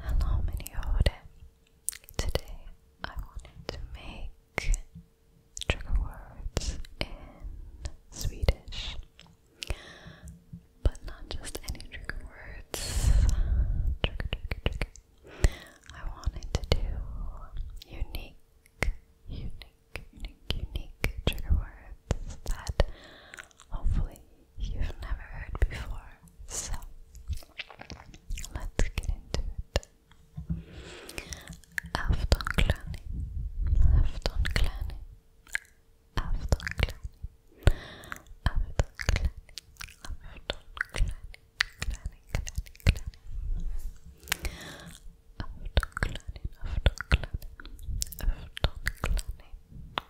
Hello Miniode. Today I wanted to make trigger words in Swedish. But not just any trigger words. Trigger, trigger, trigger. I wanted to do unique, unique, unique, unique trigger words that hopefully you've never heard before. So, let's get into it. Aftonklänning, aftonklänning, aftonklänning, aftonklänning, aftonklänning, klänning, klänning, klänning. Aftonklänning, aftonklänning, aftonklänning,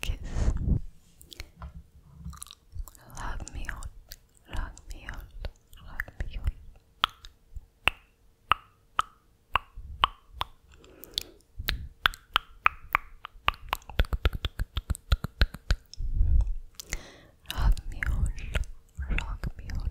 kiss. Love me out, love me out, love me out. Rock me on, rock me on, rock me on.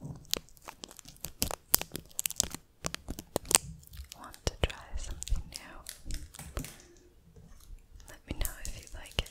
Want to try something new? Let me know if you like it.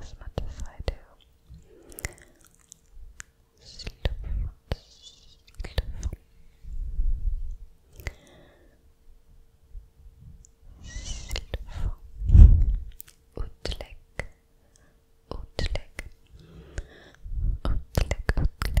as much as I do. Slurp, slurp. Slurp. Utlägg, utlägg. Utlägg, utlägg,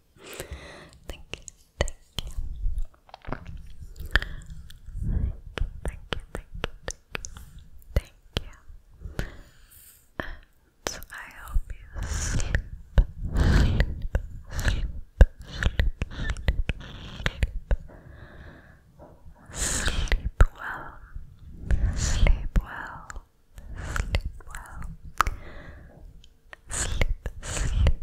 Thank you, thank you. Thank you, thank you, thank you, thank you. And I hope you sleep, sleep, sleep, sleep, sleep, sleep well, sleep well, sleep well, sleep, sleep,